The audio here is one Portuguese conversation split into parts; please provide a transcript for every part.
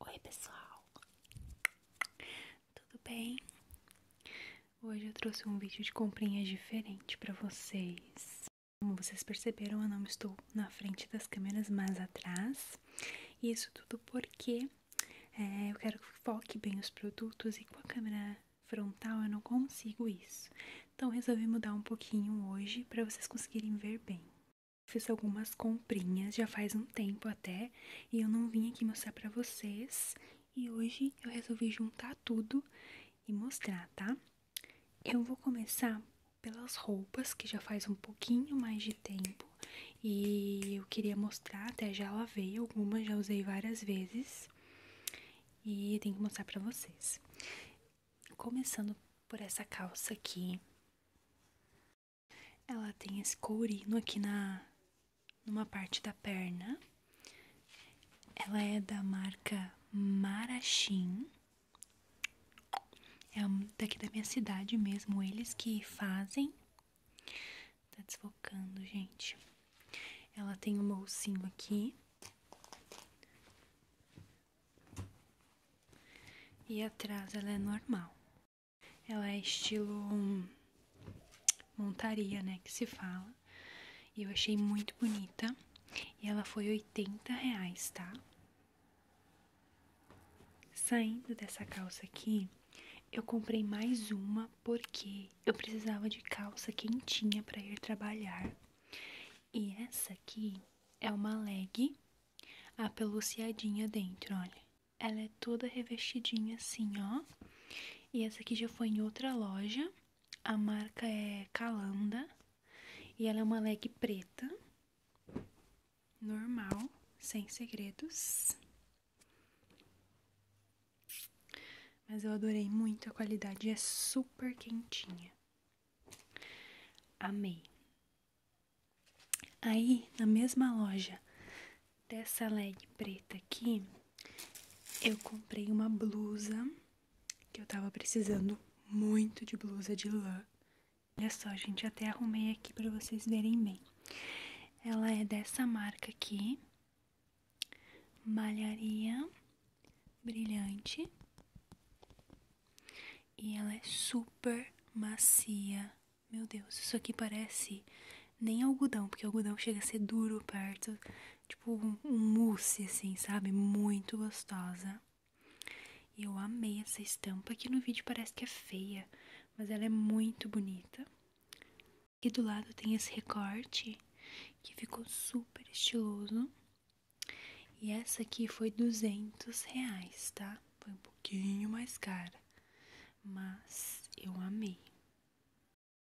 Oi, pessoal, tudo bem? Hoje eu trouxe um vídeo de comprinhas diferente para vocês. Como vocês perceberam, eu não estou na frente das câmeras, mas atrás. Isso tudo porque é, eu quero que foque bem os produtos e com a câmera frontal eu não consigo isso. Então resolvi mudar um pouquinho hoje para vocês conseguirem ver bem. Fiz algumas comprinhas já faz um tempo até e eu não vim aqui mostrar para vocês. E hoje eu resolvi juntar tudo e mostrar, tá? Eu vou começar pelas roupas, que já faz um pouquinho mais de tempo. E eu queria mostrar, até já lavei algumas, já usei várias vezes e tenho que mostrar pra vocês. Começando por essa calça aqui. Ela tem esse courino aqui na numa parte da perna. Ela é da marca Marachim. É daqui da minha cidade mesmo, eles que fazem. Tá desfocando, gente. Ela tem um bolsinho aqui. E atrás ela é normal. Ela é estilo hum, montaria, né, que se fala. E eu achei muito bonita. E ela foi 80 reais, tá? Saindo dessa calça aqui, eu comprei mais uma porque eu precisava de calça quentinha para ir trabalhar. E essa aqui é uma leg apeluciadinha dentro, olha. Ela é toda revestidinha assim, ó. E essa aqui já foi em outra loja. A marca é Calanda. E ela é uma leg preta. Normal, sem segredos. Mas eu adorei muito a qualidade, é super quentinha. Amei. Aí, na mesma loja dessa leg preta aqui, eu comprei uma blusa que eu tava precisando muito de blusa de lã. Olha só, gente, até arrumei aqui para vocês verem bem. Ela é dessa marca aqui, malharia brilhante e ela é super macia. Meu Deus, isso aqui parece nem algodão, porque algodão chega a ser duro perto, tipo um, mousse assim, sabe? Muito gostosa. eu amei essa estampa, que no vídeo parece que é feia, mas ela é muito bonita. Aqui do lado tem esse recorte que ficou super estiloso. E essa aqui foi 200 reais, tá? Foi um pouquinho mais cara, mas eu amei.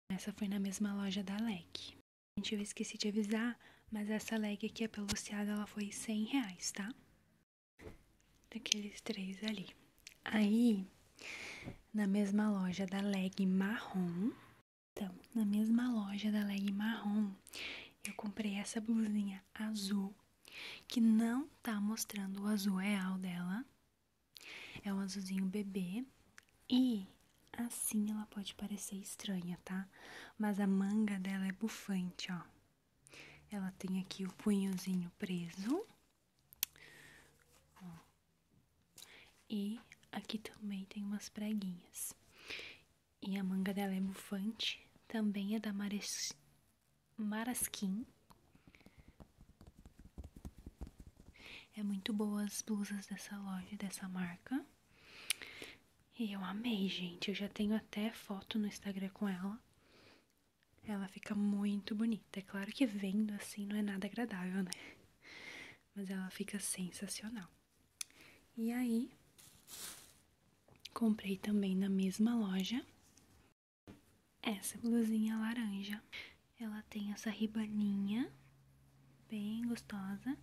Essa foi na mesma loja da LEC. Gente, eu esqueci de avisar, mas essa leg aqui, a peluciada, ela foi 100 reais, tá? Daqueles três ali. Aí, na mesma loja da leg marrom. Então, na mesma loja da leg marrom, eu comprei essa blusinha azul, que não tá mostrando o azul real dela. É um azulzinho bebê e assim ela pode parecer estranha, tá? Mas a manga dela é bufante, ó. Ela tem aqui o punhozinho preso e aqui também tem umas preguinhas. E a manga dela é bufante, também é da Mares... Marasquim. É muito boa as blusas dessa loja, dessa marca. E eu amei, gente. Eu já tenho até foto no Instagram com ela. Ela fica muito bonita. É claro que vendo assim não é nada agradável, né? mas ela fica sensacional. E aí, comprei também na mesma loja essa blusinha laranja. Ela tem essa ribaninha bem gostosa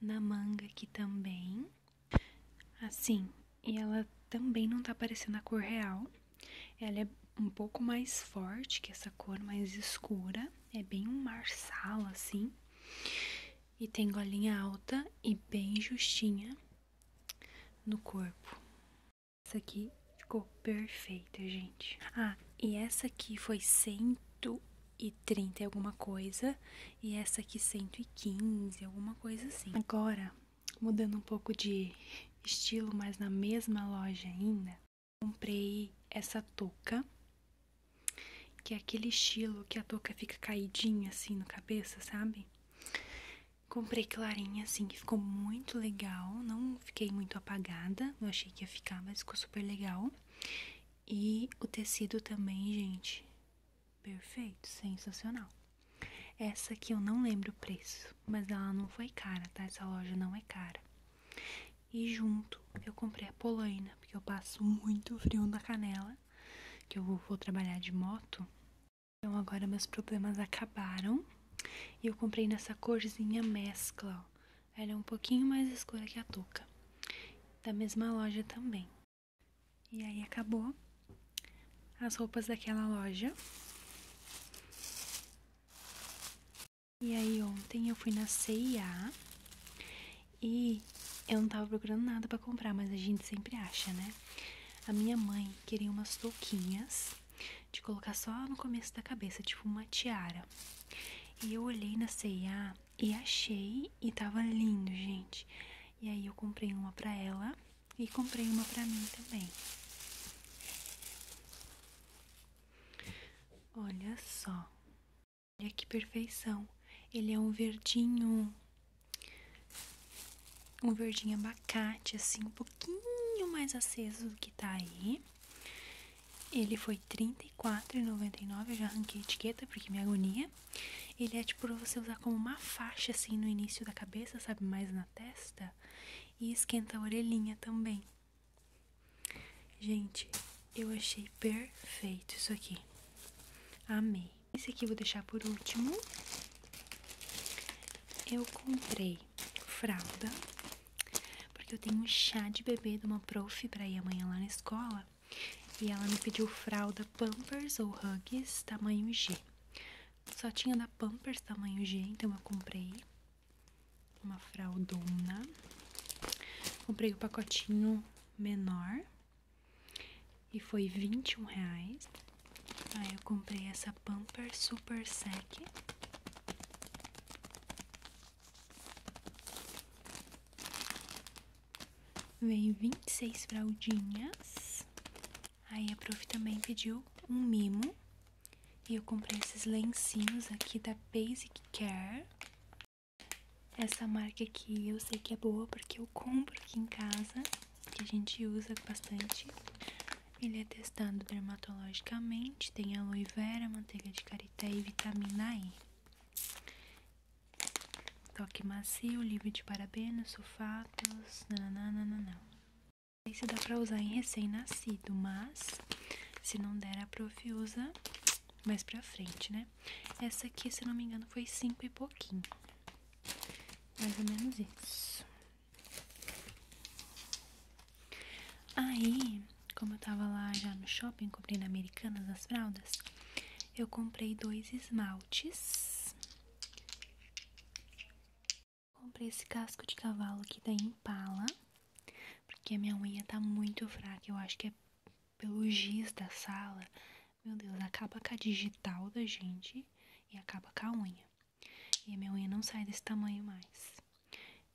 na manga aqui também. Assim, e ela também não tá parecendo a cor real. Ela é um pouco mais forte que essa cor mais escura, é bem um marsala assim. E tem golinha alta e bem justinha no corpo. Essa aqui ficou perfeita, gente. Ah, e essa aqui foi 130 e alguma coisa. E essa aqui 115, alguma coisa assim. Agora, mudando um pouco de estilo, mas na mesma loja ainda, comprei essa touca, que é aquele estilo que a touca fica caidinha assim no cabeça, sabe? Comprei clarinha assim, que ficou muito legal, não fiquei muito apagada, eu achei que ia ficar, mas ficou super legal. E o tecido também, gente, perfeito, sensacional. Essa aqui eu não lembro o preço, mas ela não foi cara, tá? Essa loja não é cara. E junto eu comprei a polaina, porque eu passo muito frio na canela, que eu vou, trabalhar de moto. Então agora meus problemas acabaram. E eu comprei nessa corzinha mescla, ó. Ela é um pouquinho mais escura que a touca. Da mesma loja também. E aí acabou as roupas daquela loja. E aí ontem eu fui na CIA e eu não tava procurando nada para comprar, mas a gente sempre acha, né? A minha mãe queria umas touquinhas de colocar só no começo da cabeça, tipo uma tiara. E eu olhei na CIA e achei e tava lindo, gente. E aí eu comprei uma pra ela e comprei uma pra mim também. Olha só. Olha que perfeição. Ele é um verdinho. Um verdinho abacate, assim, um pouquinho mais aceso do que tá aí. Ele foi R$34,99. Eu já arranquei a etiqueta porque é me agonia. Ele é tipo pra você usar como uma faixa, assim, no início da cabeça, sabe? Mais na testa. E esquenta a orelhinha também. Gente, eu achei perfeito isso aqui. Amei. Esse aqui eu vou deixar por último. Eu comprei fralda, porque eu tenho um chá de bebê de uma prof pra ir amanhã lá na escola. E ela me pediu fralda Pampers ou Huggies tamanho G. Só tinha da Pampers tamanho G, então eu comprei uma fraldona. Comprei o pacotinho menor e foi 21 reais. Aí eu comprei essa Pamper Super Sec. Vem 26 fraldinhas Aí a prof também pediu um mimo. E eu comprei esses lencinhos aqui da Basic Care. Essa marca aqui eu sei que é boa porque eu compro aqui em casa. Que a gente usa bastante. Ele é testado dermatologicamente. Tem aloe vera, manteiga de carité e vitamina E. Toque macio, livre de parabenos, sulfatos, nananana sei se dá pra usar em recém-nascido, mas se não der a prof usa mais pra frente, né? Essa aqui, se não me engano, foi 5 e pouquinho. Mais ou menos isso. Aí, como eu tava lá já no shopping, comprando Americanas as fraldas, eu comprei dois esmaltes. Comprei esse casco de cavalo aqui da Impala, porque a minha unha tá muito fraca, eu acho que é pelo giz da sala. Meu Deus, acaba com a digital da gente e acaba com a unha. E a minha unha não sai desse tamanho mais.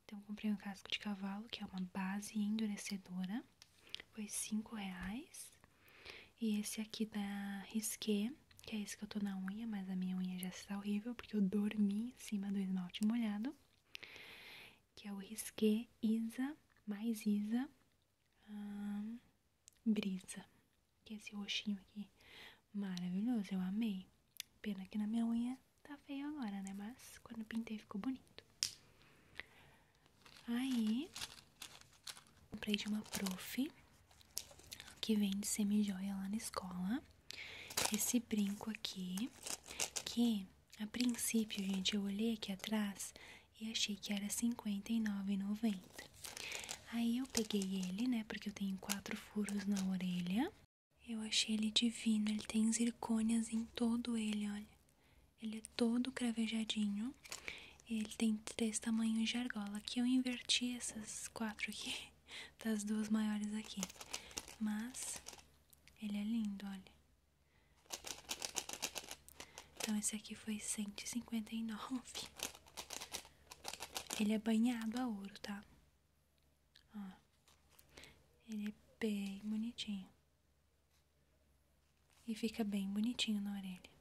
Então comprei um casco de cavalo, que é uma base endurecedora. Foi 5 reais. E esse aqui da Risqué que é esse que eu tô na unha, mas a minha unha já está horrível porque eu dormi em cima do esmalte molhado, que é o risque Isa, mais Isa, Brisa, que é esse roxinho aqui, maravilhoso, eu amei, pena que na minha unha tá feio agora, né, mas quando pintei ficou bonito. Aí, comprei de uma prof, que vem vende semijoia lá na escola. Esse brinco aqui, que a princípio, gente, eu olhei aqui atrás e achei que era R$ 59,90. Aí eu peguei ele, né, porque eu tenho quatro furos na orelha. Eu achei ele divino, ele tem zircônias em todo ele, olha. Ele é todo cravejadinho. Ele tem três tamanhos de argola, que eu inverti essas quatro aqui das duas maiores aqui. Mas ele é lindo, olha. Então esse aqui foi 159. Ele é banhado a ouro, tá? Ó. Ele é bem bonitinho. E fica bem bonitinho na orelha.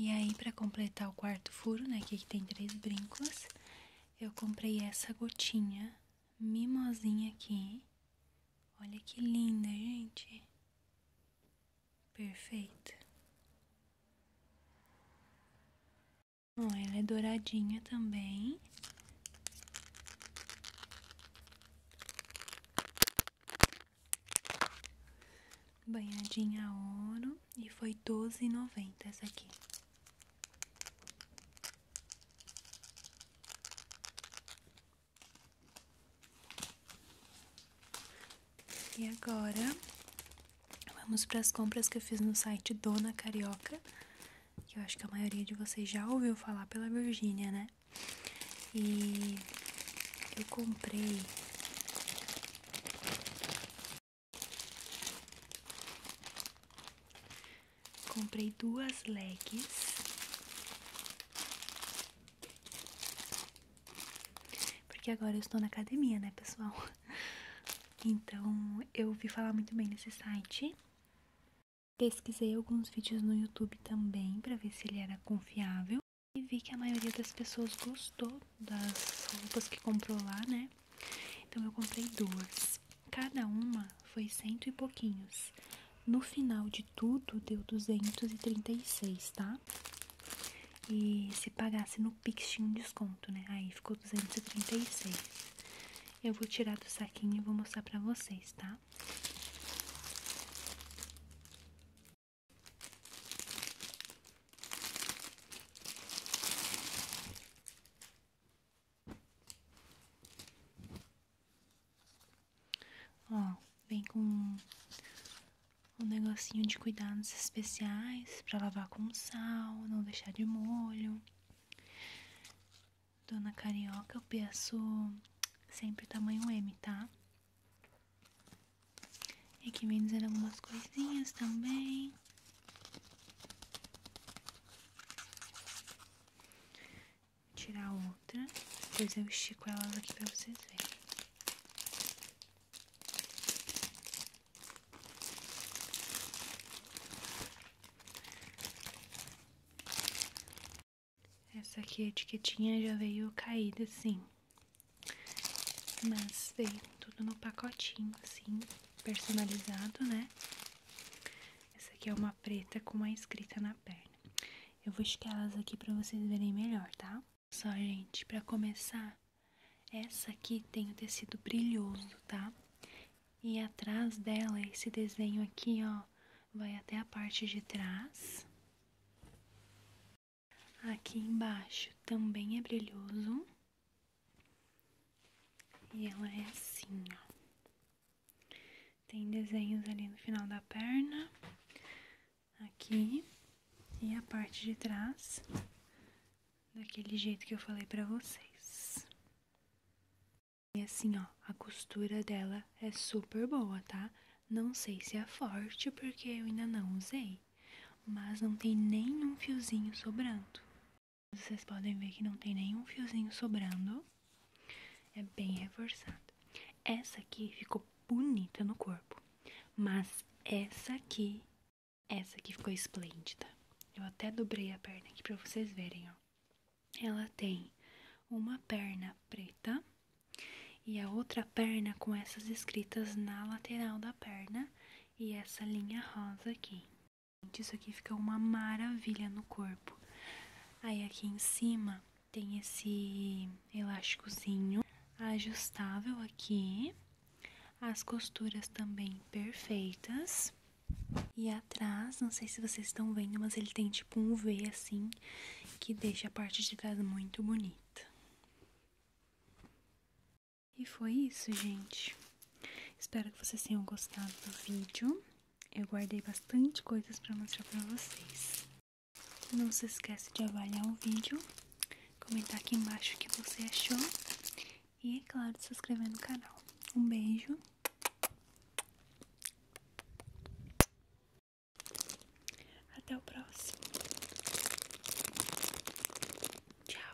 E aí, para completar o quarto furo, né? que tem três brincos, eu comprei essa gotinha mimosinha aqui. Olha que linda, gente. Perfeita. Bom, ela é douradinha também. Banhadinha ouro e foi doze noventa essa aqui. E agora vamos para as compras que eu fiz no site Dona Carioca, que eu acho que a maioria de vocês já ouviu falar pela Virgínia, né? E eu comprei comprei duas legs porque agora eu estou na academia, né, pessoal? Então, eu vi falar muito bem desse site. Pesquisei alguns vídeos no YouTube também para ver se ele era confiável e vi que a maioria das pessoas gostou das roupas que comprou lá, né? Então eu comprei duas. Cada uma foi cento e pouquinhos. No final de tudo, deu 236, tá? E se pagasse no Pix tinha um desconto, né? Aí ficou 236. Eu vou tirar do saquinho e vou mostrar pra vocês, tá? Ó, vem com um negocinho de cuidados especiais para lavar com sal, não deixar de molho. Dona Carioca, eu peço sempre tamanho M, tá? E aqui vem dizer algumas coisinhas também tirar outra. Depois eu estico elas aqui pra vocês verem. Essa aqui, a etiquetinha já veio caída, assim. Mas veio tudo no pacotinho, assim, personalizado, né? Essa aqui é uma preta com uma escrita na perna. Eu vou elas aqui para vocês verem melhor, tá? Só, gente, para começar, essa aqui tem o tecido brilhoso, tá? E atrás dela, esse desenho aqui, ó, vai até a parte de trás. Aqui embaixo também é brilhoso. E ela é assim, ó. Tem desenhos ali no final da perna, aqui e a parte de trás, daquele jeito que eu falei pra vocês. E assim, ó, a costura dela é super boa, tá? Não sei se é forte porque eu ainda não usei, mas não tem nenhum fiozinho sobrando. Vocês podem ver que não tem nenhum fiozinho sobrando. É bem reforçado. Essa aqui ficou bonita no corpo, mas essa aqui, essa aqui ficou esplêndida. Eu até dobrei a perna aqui para vocês verem, ó. Ela tem uma perna preta e a outra perna com essas escritas na lateral da perna e essa linha rosa aqui. Isso aqui ficou uma maravilha no corpo. Aí aqui em cima tem esse elásticozinho ajustável aqui. As costuras também perfeitas. E atrás, não sei se vocês estão vendo, mas ele tem tipo um V assim, que deixa a parte de trás muito bonita. E foi isso, gente. Espero que vocês tenham gostado do vídeo. Eu guardei bastante coisas para mostrar para vocês. Não se esquece de avaliar o vídeo, comentar aqui embaixo o que você achou e, é claro, se inscrever no canal. Um beijo. Até o próximo. Tchau.